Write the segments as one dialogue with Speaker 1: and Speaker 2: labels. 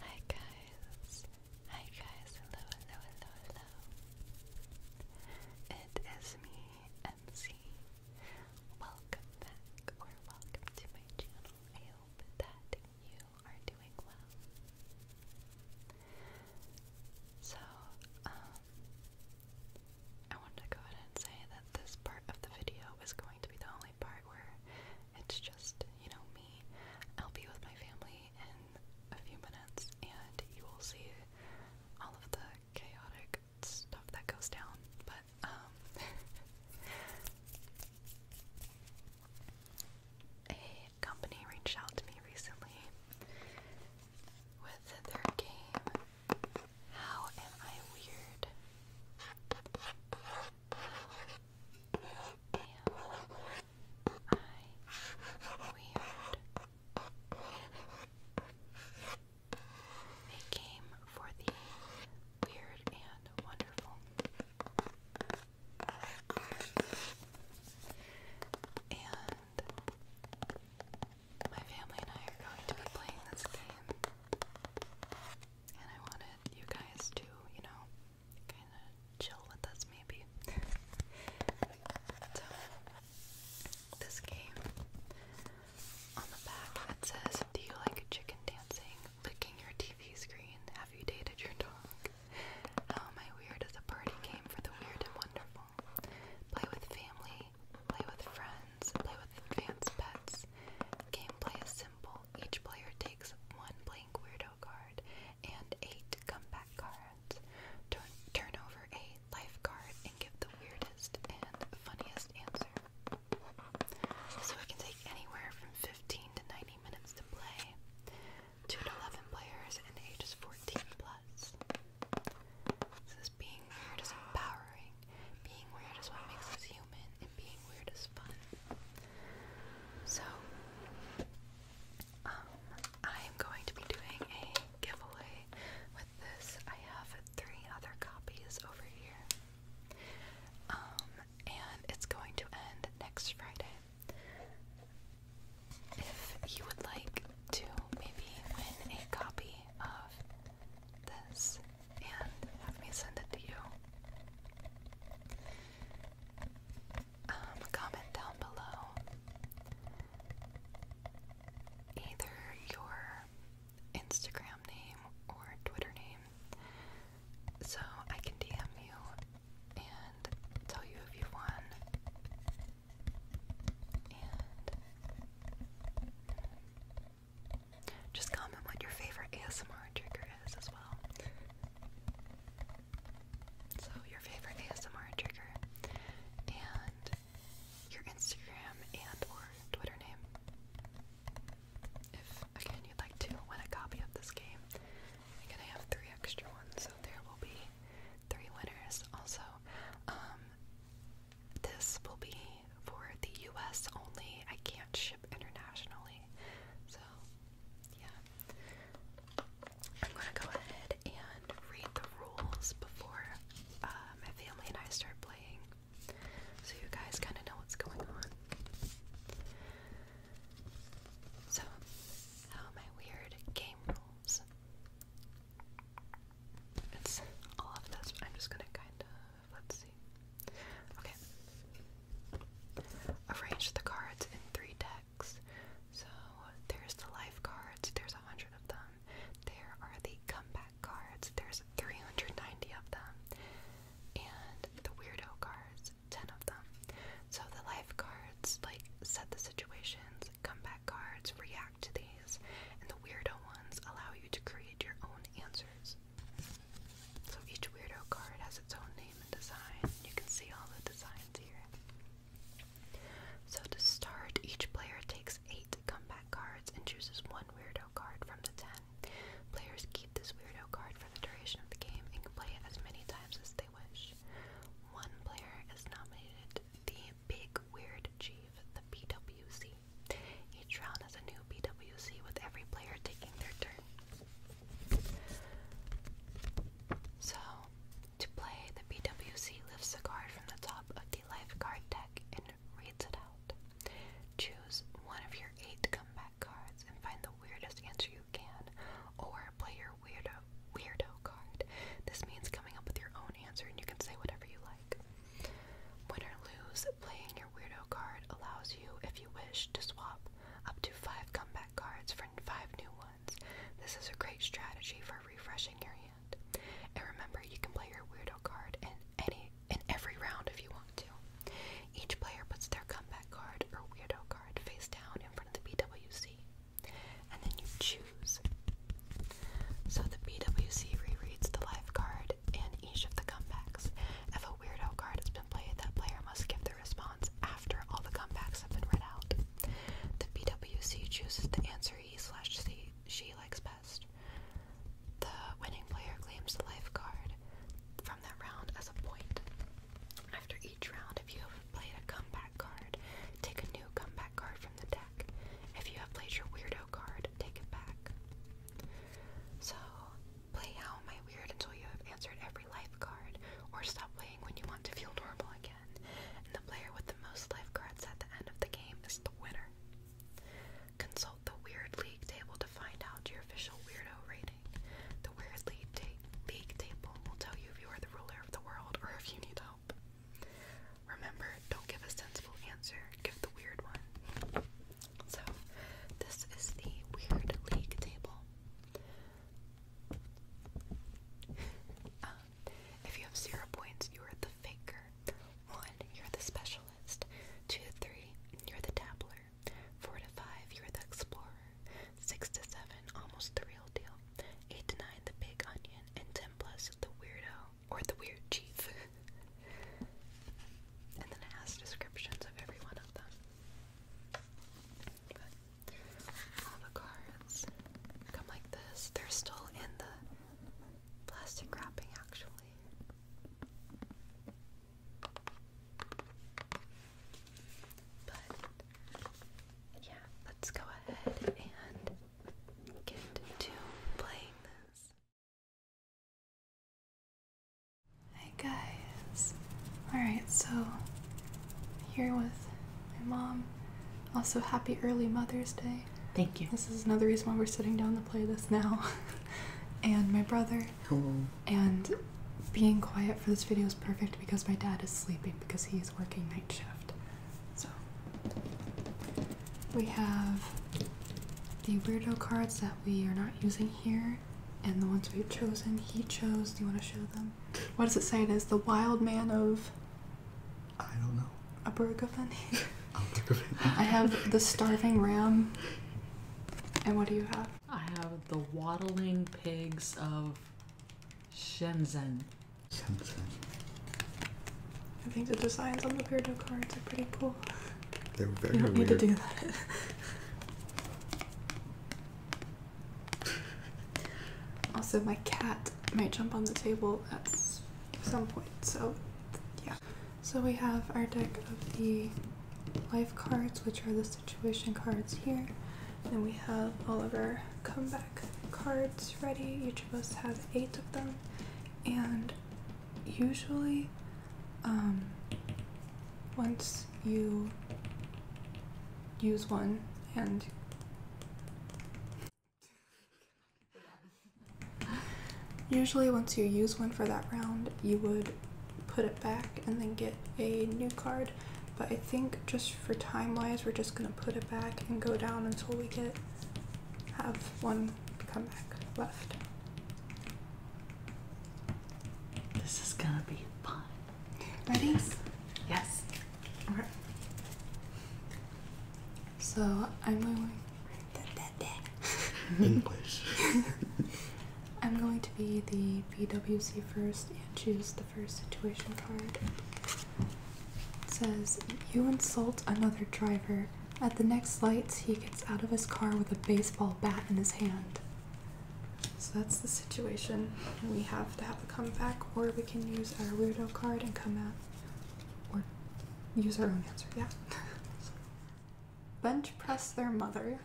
Speaker 1: Hi guys, hi guys, hello, hello, hello, hello. It is me, MC. Welcome back, or welcome to my channel. I hope that you are doing well. So, um, I wanted to go ahead and say that this part of the video is going to be the part where it's just, you know, me. I'll be with my family in a few minutes and you will see all of the chaotic stuff that goes down. But, um, a company reached out to me recently with their game, How Am I Weird? They came for the weird and wonderful. And my family and I are going to be playing this game and I wanted you guys to, you know, kind of chill with us maybe. so, this game, on the back it says, do you like chicken dancing, licking your TV screen, have you dated your dog? How oh, Am I Weird is a party game for the weird and wonderful. Play with family, play with friends, play with advanced pets, Gameplay is simple. Each player takes one blank weirdo card and eight comeback cards. Turn, turn over a life card and give the weirdest and funniest answer. So it can take anywhere from 15 to 90 minutes to play. 2 to 11 players and ages 14 plus. This is being weird is empowering being weird is what makes us human, and being weird is fun. So, um, I am going to be doing a giveaway with this. I have three other copies over here. Um, and it's going to end next Friday. If you would like to maybe win a copy of this and have me send it to you. Um, comment down below either your Instagram name or Twitter name so I can DM you and tell you if you won. Just comment what your favorite ASMR trigger is as well. So, your favorite ASMR trigger and your Instagram and or Twitter name. If again you'd like to win a copy of this game, I'm gonna have three extra ones, so there will be three winners. Also, um, this will be for the US only. I can't ship internationally. So, yeah. I'm going to go ahead and read the rules before uh, my family and I start playing so you guys kind of know what's going on. So, how my weird game rules. It's all of this, I'm just gonna kind of Let's see. Okay. Arrange the cards in three decks. So there's the life cards, there's a hundred of them. There are the comeback cards, there's 390 of them. And the weirdo cards, 10 of them. So the life cards like set the situations, comeback cards react to the and the weirdo ones allow you to create your own answers. So each weirdo card has its own name and design. You can see all the designs here. So to start, each player takes eight comeback cards and chooses one weirdo card from the ten. Players keep this weirdo card for the duration of the game and can play it as many times as they wish. One player is nominated the Big Weird Chief, the BWC. Each round has a new BWC with every player taking their turn. So, to play, the BWC lifts a card from the top of the life card deck and reads it out. Choose one of your eight comeback cards and find the weirdest answer you can, or play your weirdo weirdo card. This means coming up with your own answer, and you can say whatever you like. Win or lose, playing your weirdo card allows you, if you wish, to swap up to five comeback cards for five new ones. This is a great strategy for refreshing your hand. And remember, you can play your weirdo card in any in every round if you want to. Each player puts their comeback card or weirdo card face down in front of the BWC. And then you choose so the BWC rereads the lifeguard card in each of the comebacks. If a weirdo card has been played, that player must give the response after all the comebacks have been read out. The BWC chooses the answer he slash she likes best. The winning player claims the lifeguard from that round as a point. After each round, if you have played a comeback card, take a new comeback card from the deck. If you have played your weirdo card, take it back. So, play How Am Weird until you have answered every life card, or stop playing when you want to feel normal again. And the player with the most life cards at the end of the game is the winner. Consult the Weird League table to find out your official weirdo rating. The Weird League table will tell you if you are the ruler of the world or if you need help. Remember, don't give a sensible answer, give the weird one. So, this is the Weird League table. Um, if you have zero points, you are the faker. One, you're the specialist. Two, three, you're the dabbler. Four to five, you're the explorer. Six to seven, almost the real deal. Eight to nine, the big onion. And ten plus, the weirdo or the weird chief. and then it has descriptions of every one of them. all the cards come like this. They're still in the plastic wrapping, actually. But yeah, let's go ahead and get to playing this.
Speaker 2: Hi guys. Alright, so here with my mom. Also, happy early Mother's Day. Thank you. This is another reason why we're sitting down to play this now. and my brother. And being quiet for this video is perfect because my dad is sleeping because he's working night shift. So we have the weirdo cards that we are not using here, and the ones we've chosen. He chose. Do you want to show them? What does it say? It is the wild man of. I don't know. A burg of Burgavani. I have the starving ram. And what do you have? I have
Speaker 3: the waddling pigs of Shenzhen. Shenzhen.
Speaker 2: I think the designs on the Beardo cards are pretty cool. They're very. You don't need to do that. also, my cat might jump on the table at some point. So, yeah. So we have our deck of the life cards, which are the situation cards here. and we have all of our comebacks cards ready. Each of us has eight of them, and usually, um, once you use one and Usually, once you use one for that round, you would put it back and then get a new card but I think just for time wise, we're just gonna put it back and go down until we get have one come back left.
Speaker 1: This is gonna be fun.
Speaker 2: Ready? Yes. yes. So I'm going. English. I'm going to be the PWC first and choose the first situation card. says, You insult another driver. At the next lights, he gets out of his car with a baseball bat in his hand. So that's the situation. We have to have a comeback, or we can use our weirdo card and come out, or use our own answer. Yeah. Bench press their mother,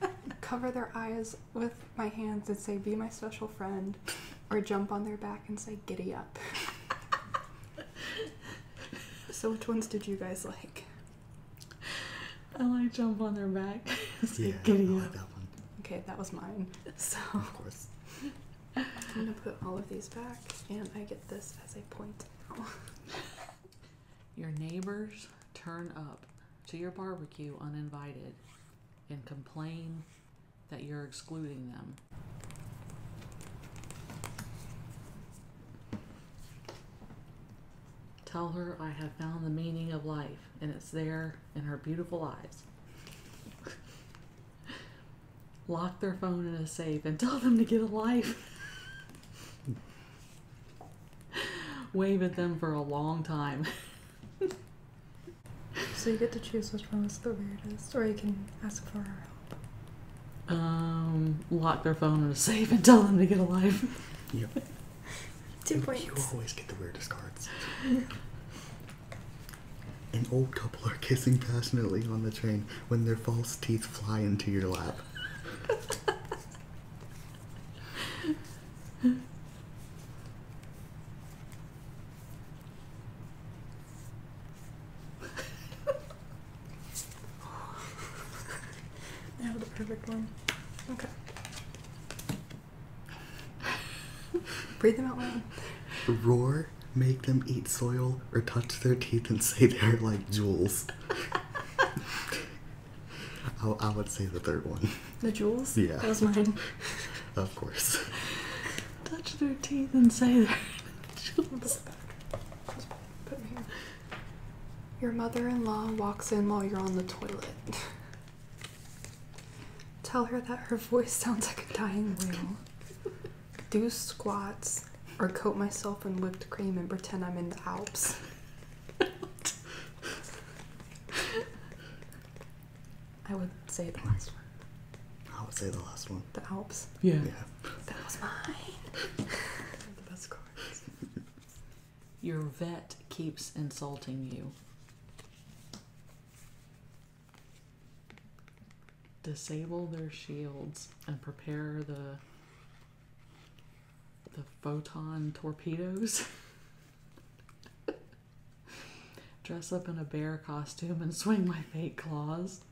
Speaker 2: cover their eyes with my hands and say, Be my special friend, or jump on their back and say, Giddy up. so, which ones did you guys like? I like jump on their back.
Speaker 4: yeah, giddy up.
Speaker 2: Okay, that was mine. So, of course. I'm gonna put all of these back, and I get this as a point now.
Speaker 3: Your neighbors turn up to your barbecue uninvited and complain that you're excluding them. Tell her I have found the meaning of life, and it's there in her beautiful eyes. Lock their phone in a safe and tell them to get a life. Wave at them for a long time.
Speaker 2: so you get to choose which one was the weirdest, or you can ask for our
Speaker 3: help. Um, lock their phone in a safe and tell them to get alive. Yep. Two and points. You always get
Speaker 4: the weirdest cards. An old couple are kissing passionately on the train when their false teeth fly into your lap.
Speaker 2: I have the perfect one. Okay. Breathe them out loud.
Speaker 4: Roar, make them eat soil, or touch their teeth and say they're like jewels. I, I would say the third one.
Speaker 2: The jewels? Yeah. That was mine.
Speaker 4: of course.
Speaker 2: Touch their teeth
Speaker 3: and say their
Speaker 2: jewels. Put me here. Your mother in law walks in while you're on the toilet. Tell her that her voice sounds like a dying whale. Do squats or coat myself in whipped cream and pretend I'm in the Alps. I would say the last
Speaker 4: one. I would say the last one. The Alps.
Speaker 2: Yeah. That was mine. the best
Speaker 3: cards. Your vet keeps insulting you. Disable their shields and prepare the the photon torpedoes. Dress up in a bear costume and swing my fake claws.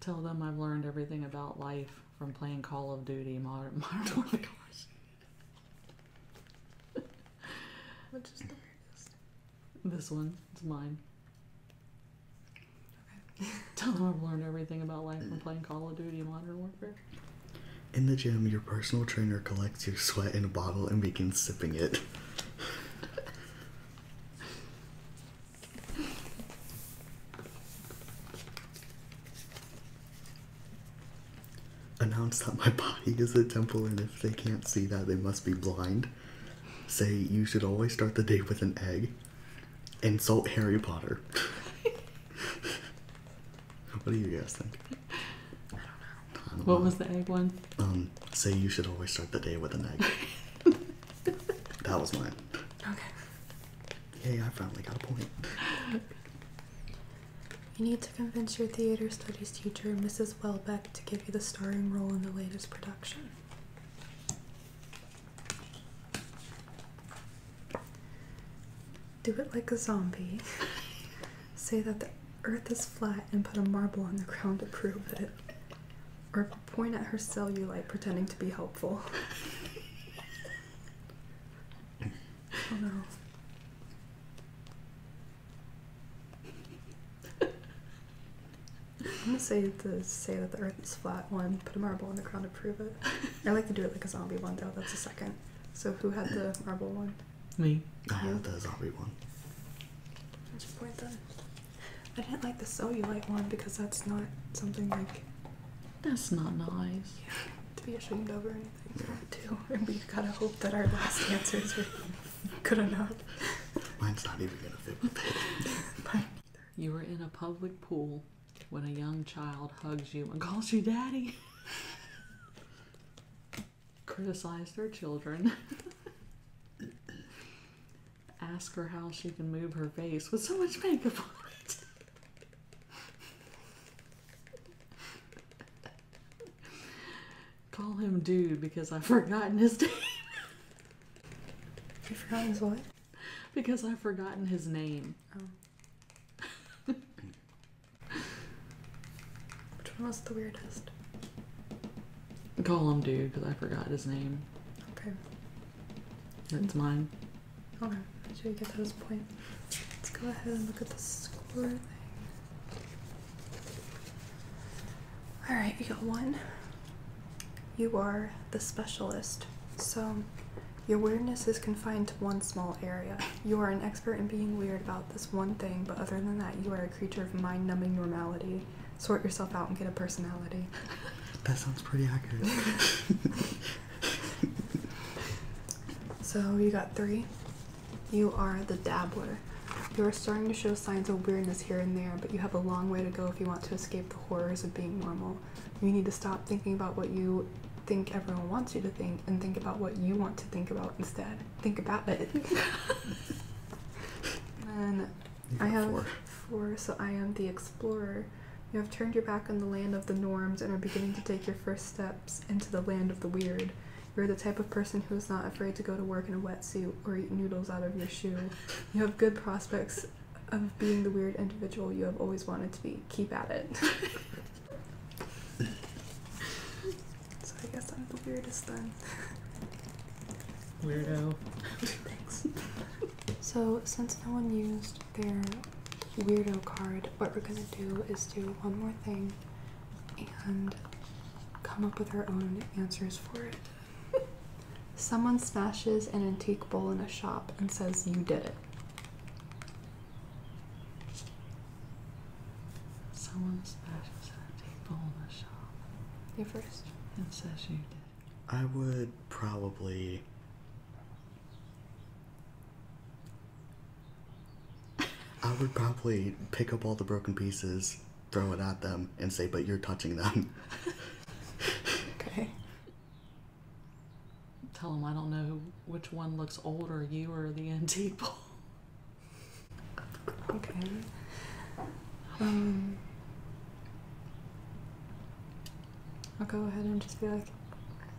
Speaker 3: Tell them I've learned everything about life from playing Call of Duty Modern oh Warfare. This one. It's mine. Tell them I've learned everything about life from playing Call of Duty Modern Warfare.
Speaker 4: In the gym, your personal trainer collects your sweat in a bottle and begins sipping it. Announce that my body is a temple, and if they can't see that, they must be blind. Say you should always start the day with an egg. Insult Harry Potter. What do you guys think? I don't know. what was the egg one? Um, say you should always start the day with an egg. that was mine. Okay. Yay, I finally got a point.
Speaker 2: You need to convince your theater studies teacher, Mrs. Welbeck, to give you the starring role in the latest production. Do it like a zombie. Say that the earth is flat and put a marble on the ground to prove it. Or point at her cellulite pretending to be helpful. oh no. I'm gonna say the say that the earth is flat one, put a marble on the ground to prove it. I like to do it like a zombie one though, that's a second. So who had the marble one? Me. I had
Speaker 4: the zombie one.
Speaker 2: That's your point then. I didn't like the cellulite one because that's not something like. That's not nice. to be ashamed of or anything. Too. And we gotta hope that our last answers were good enough.
Speaker 4: Mine's not even gonna fit with it.
Speaker 3: Mine either. You were in a public pool when a young child hugs you and calls you daddy. Criticize their children. Ask her how she can move her face with so much makeup on it. Call him dude because I've forgotten his name. you forgotten his what? Because I've forgotten his name. Oh. Which
Speaker 2: one was the weirdest?
Speaker 3: Call him dude, because I forgot his name. Okay. That's mine.
Speaker 2: Okay, should we get to this Let's go ahead and look at the score Alright, you got one. You are the specialist. So your weirdness is confined to one small area. You are an expert in being weird about this one thing, but other than that, you are a creature of mind numbing normality. Sort yourself out and get a personality.
Speaker 4: That sounds pretty accurate.
Speaker 2: so, you got three. You are the dabbler. You are starting to show signs of weirdness here and there, but you have a long way to go if you want to escape the horrors of being normal. You need to stop thinking about what you think everyone wants you to think and think about what you want to think about instead. Think about it. and I have four, so I am the explorer. You have turned your back on the land of the norms and are beginning to take your first steps into the land of the weird. You're the type of person who is not afraid to go to work in a wetsuit or eat noodles out of your shoe. You have good prospects of being the weird individual you have always wanted to be. Keep at it. so I guess I'm the weirdest then. Weirdo. Thanks. So since no one used their weirdo card, what we're gonna do is do one more thing and come up with our own answers for it. Someone smashes an antique bowl in a shop and says, You did it. Someone smashes an antique bowl in a shop. You first. And says,
Speaker 3: You did
Speaker 4: I would probably. I would probably pick up all the broken pieces, throw it at them, and say, But you're touching them.
Speaker 1: okay.
Speaker 3: Tell them I don't know which one looks older, you or the
Speaker 2: antique okay. Um, I'll go ahead and just be like,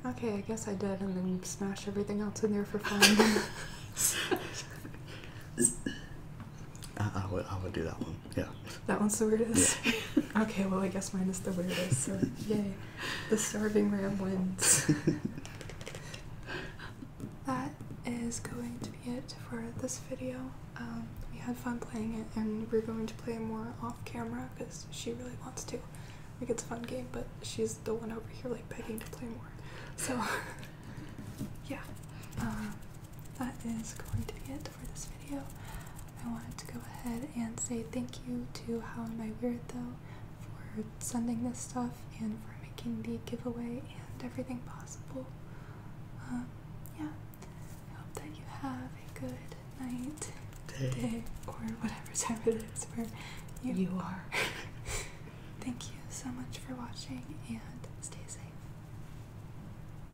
Speaker 2: okay, I guess I did, and then smash everything else in there for fun.
Speaker 4: I, would, I would do that one. Yeah.
Speaker 2: That one's the weirdest. okay, well I guess mine is the weirdest. So yay. The starving ram wins. that is going to be it for this video. Um, we had fun playing it and we're going to play more off camera because she really wants to. I think it's a fun game, but she's the one over here like begging to play more. So yeah. Uh, that is going to be it for this video. I wanted to go ahead and say thank you to How Am I Weird Though for sending this stuff and for making the giveaway and everything possible. Um, yeah, I hope that you have a good night, day, or whatever time it is where you are. thank you so much for watching and stay safe.